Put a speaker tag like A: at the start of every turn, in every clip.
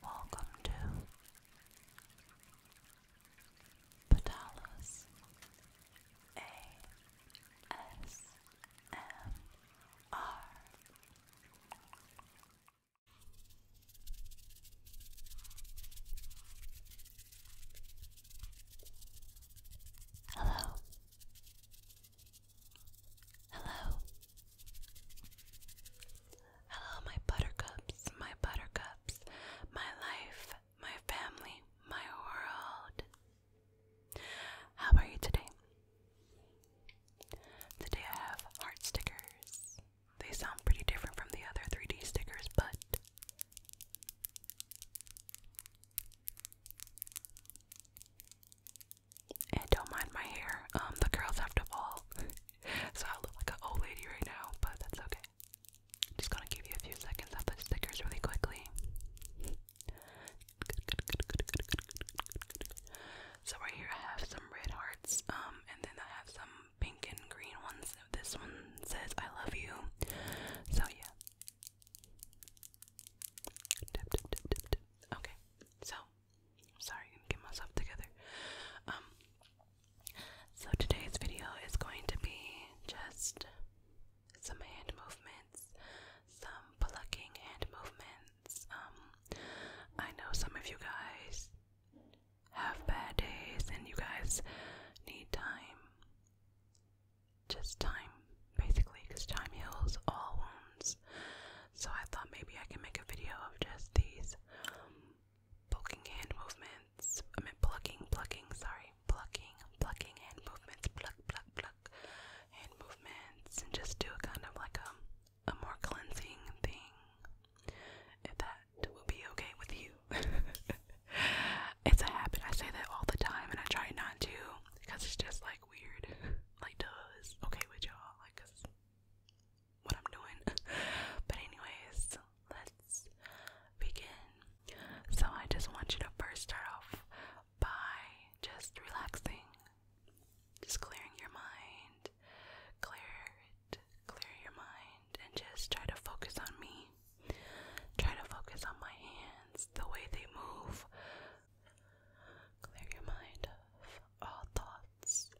A: Welcome to Patalas ASMR. Hello, Hello. Hello, my buttercups, my buttercups, my life, my family, my world. How are you today? Today I have heart stickers. They sound pretty different from the other 3D stickers, but and don't mind my hair. Um, the curls have to fall. so I look like an old lady right now, but that's okay. just gonna give you a few seconds of the stickers really quickly. So right here I have some red hearts, um, and then I have some pink and green ones. This one says I love you. So yeah. Okay, so sorry, get myself together. Um, so today's video is going to be just some hand movements, some plucking hand movements. Um, I know some of you guys have bad days and you guys need time. Just time basically because time heals all wounds. So I thought maybe I can make a video of just these um, plucking hand movements. I mean plucking, plucking, sorry, plucking, plucking hand movements, pluck, pluck, pluck hand movements, and just do a kind of like a, a more cleansing thing. If that will be okay with you. it's a habit. I say that all the time, and I try not to because it's just like weird. like does okay with y'all, like cause what I'm doing. but anyways, let's begin. So I just want you to first start off by just relaxing. Just clearing your mind. Clear it. Clear your mind and just try to focus on me. Try to focus on my hands, the way they move, Clear your mind of all thoughts.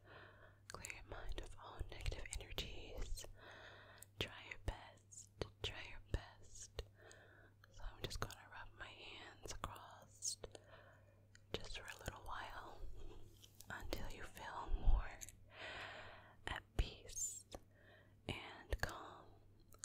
A: Clear your mind of all negative energies. Try your best. Try your best. So I'm just going to rub my hands across just for a little while until you feel more at peace and calm.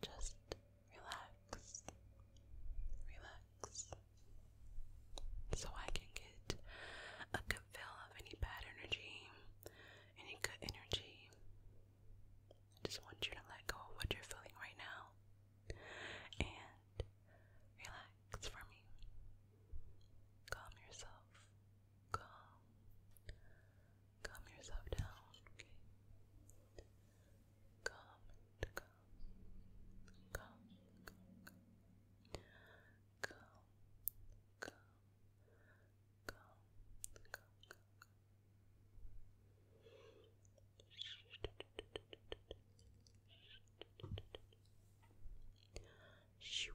A: Just relax, relax, so I can get a good feel of any bad energy, any good energy. I just want you to let go of what you're feeling right now and relax for me. Calm yourself calm. Calm yourself down, okay? Calm, calm, calm, calm, calm, calm, calm, calm, calm. Shoot.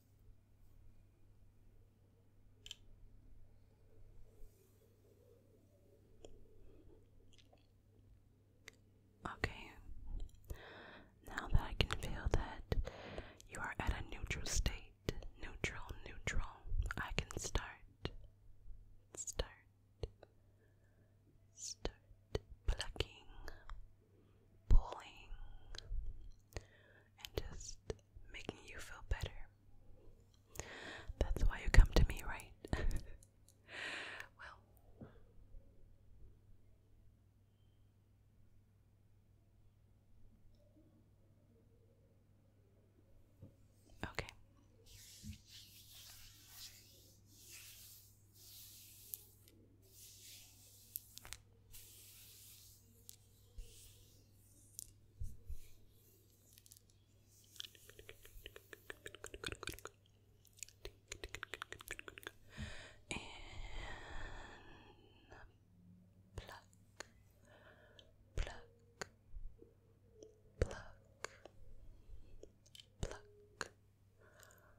A: Okay, now that I can feel that you are at a neutral state, neutral, neutral, I can start, start, start plucking, pulling and just making you feel better. That's why you come to me, right? well, Okay. And pluck, pluck, pluck,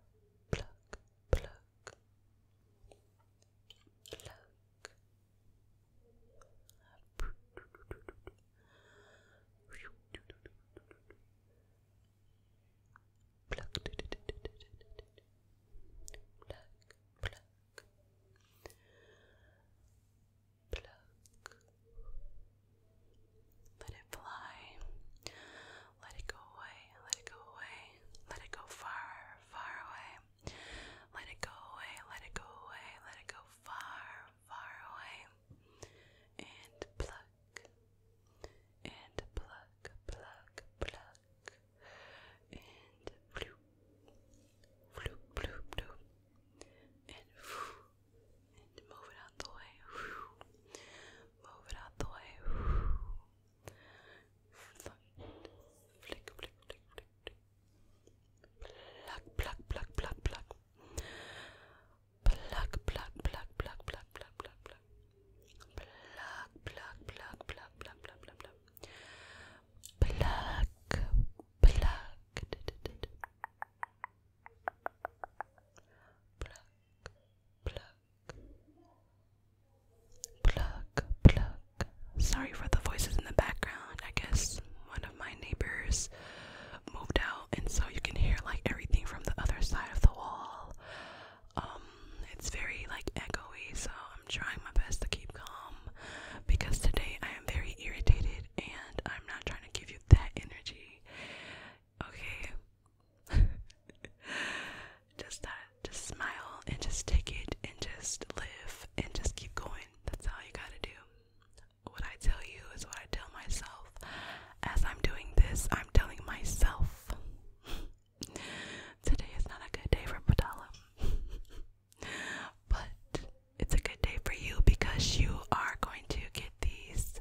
A: pluck, pluck, pluck, Look. Pluck. Pluck. Let it fly. Let it go away. Let it go away. Let it go far, far away. Let it go away, let it go away, let it go far, far away. And pluck. And pluck, pluck, pluck. And bloop. Bloop, bloop, bloop. And whoo. And move it out the way. Whoo. Move it out the way. Whoo. Flight. Flick, flick, flick, flick, flick. Pluck, pluck, pluck, pluck, pluck. Pluck, pluck, pluck, pluck, pluck, pluck, pluck, pluck. Pluck, pluck, pluck, pluck, pluck, pluck, pluck, pluck. Pluck, pluck. Pluck, pluck, Pluck, pluck. Sorry for the voices in the background. I guess one of my neighbors moved out, and so you can hear like everything from the other side of the wall. Um, it's very like echoey, so I'm trying my best to keep calm because today I am very irritated and I'm not trying to give you that energy okay? just that, just smile and just take it and just live and just keep going. That's all you gotta do. What I tell you is what I tell myself. As I'm doing this, I'm telling myself today is not a good day for Padala. but it's a good day for you because you are going to get these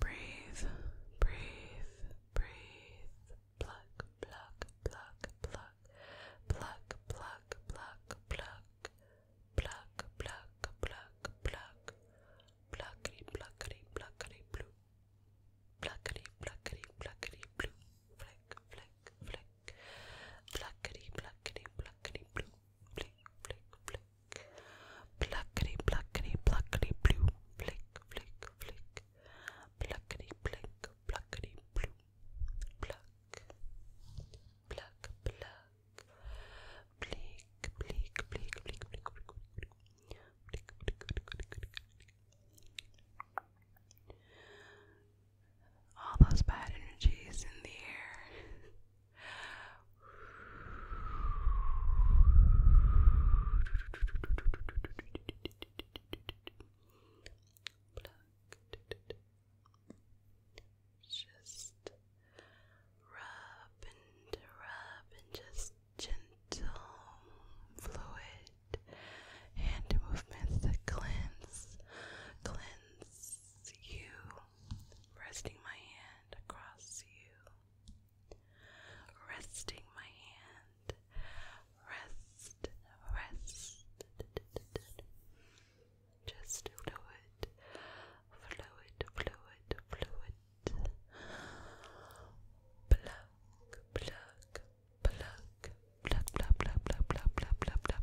A: Breathe, breathe, breathe. Pluck, pluck, pluck, pluck. Pluck, pluck, pluck, pluck. Pluck, pluck, pluck, pluck. Pluckety, pluckety, pluckety, blue. Pluckety, pluckety, pluckety, blue. Flick, flick, flick. Pluckety, pluckety, pluckety, blue, blink, blink, blink. Pluckety, pluckety, pluckety, blue, blink, blink, blink. Pluckety, blink, pluckety, blue. Pluck, pluck, pluck. Blink, blink, blink, blink, blink, blink, blink. Blink, blink, blink, blink, blink, blink all those bad energies in the air. Just rub and rub and just gentle, fluid hand movements that cleanse, cleanse you resting my hand across you, resting my hand, rest, rest, just fluid, fluid, fluid, fluid, pluck, pluck, pluck, pluck, pluck, pluck, pluck, pluck, pluck, pluck.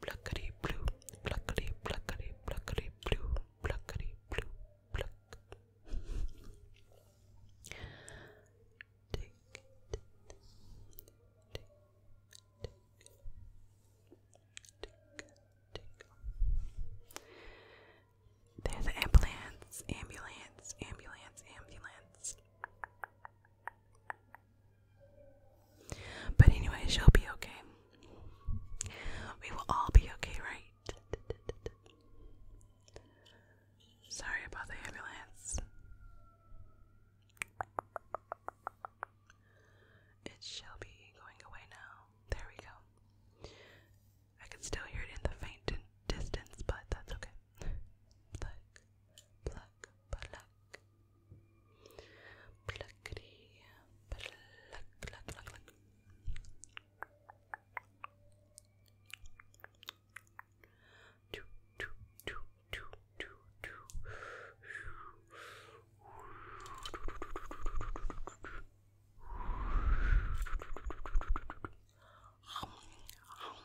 A: Pluckety blue, pluckety, pluckety, pluckety blue, pluckety blue, black. Tick, tick, tick, tick, tick, There's ambulance, ambulance, ambulance, ambulance. But anyway, she'll be okay. We will all be okay, right? Sorry about the ambulance. It shall be going away now. There we go. I can still hear it in the faint distance, but that's okay. Pluck, pluck, pluck. Pluckity, pluck, pluck, pluck, pluck. Two, two, two, two, two, two. Um, um.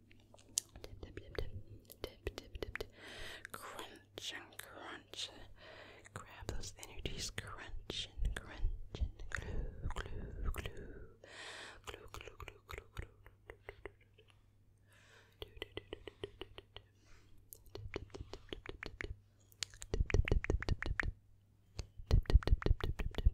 A: Dip, dip, dip, dip, dip, dip, dip, dip. Crunch and crunch. Grab those energies. Crunch and crunch and glue, glue, glue. Glue, glue, glue, glue, glue. Do, do, do, do, do, do, do, do. Dip, dip, dip, dip, dip, dip, dip, dip. Dip, dip, dip, dip, dip, dip, dip.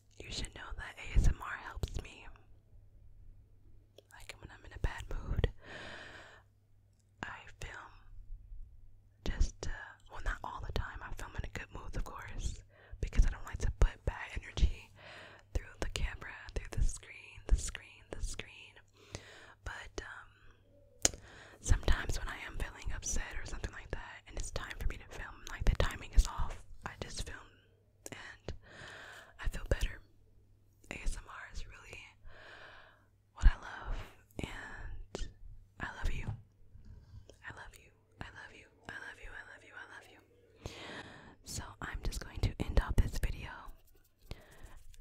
A: You should know that ASMR helps me. Like when I'm in a bad mood, I film just, well, not all the time. I film in a good mood, of course, because I don't like to put bad energy through the camera, through the screen, the screen, the screen. But, um, Sometimes when I am feeling upset or something like that, and it's time for me to film, um, like the timing is off. I just film and I feel better. ASMR is really what I love, and I love you. I love you. I love you. I love you. I love you. I love you. So I'm just going to end up this video.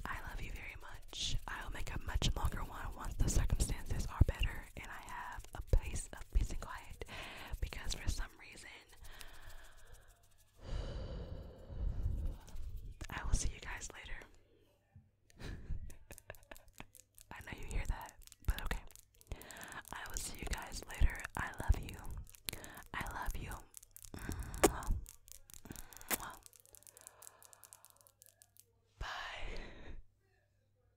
A: I love you very much. I'll make a much longer one once the circumstances are better and I have a place of peace and quiet because for some reason I will see you guys later. I know you hear that, but okay. I will see you guys later. I love you. I love you. Bye.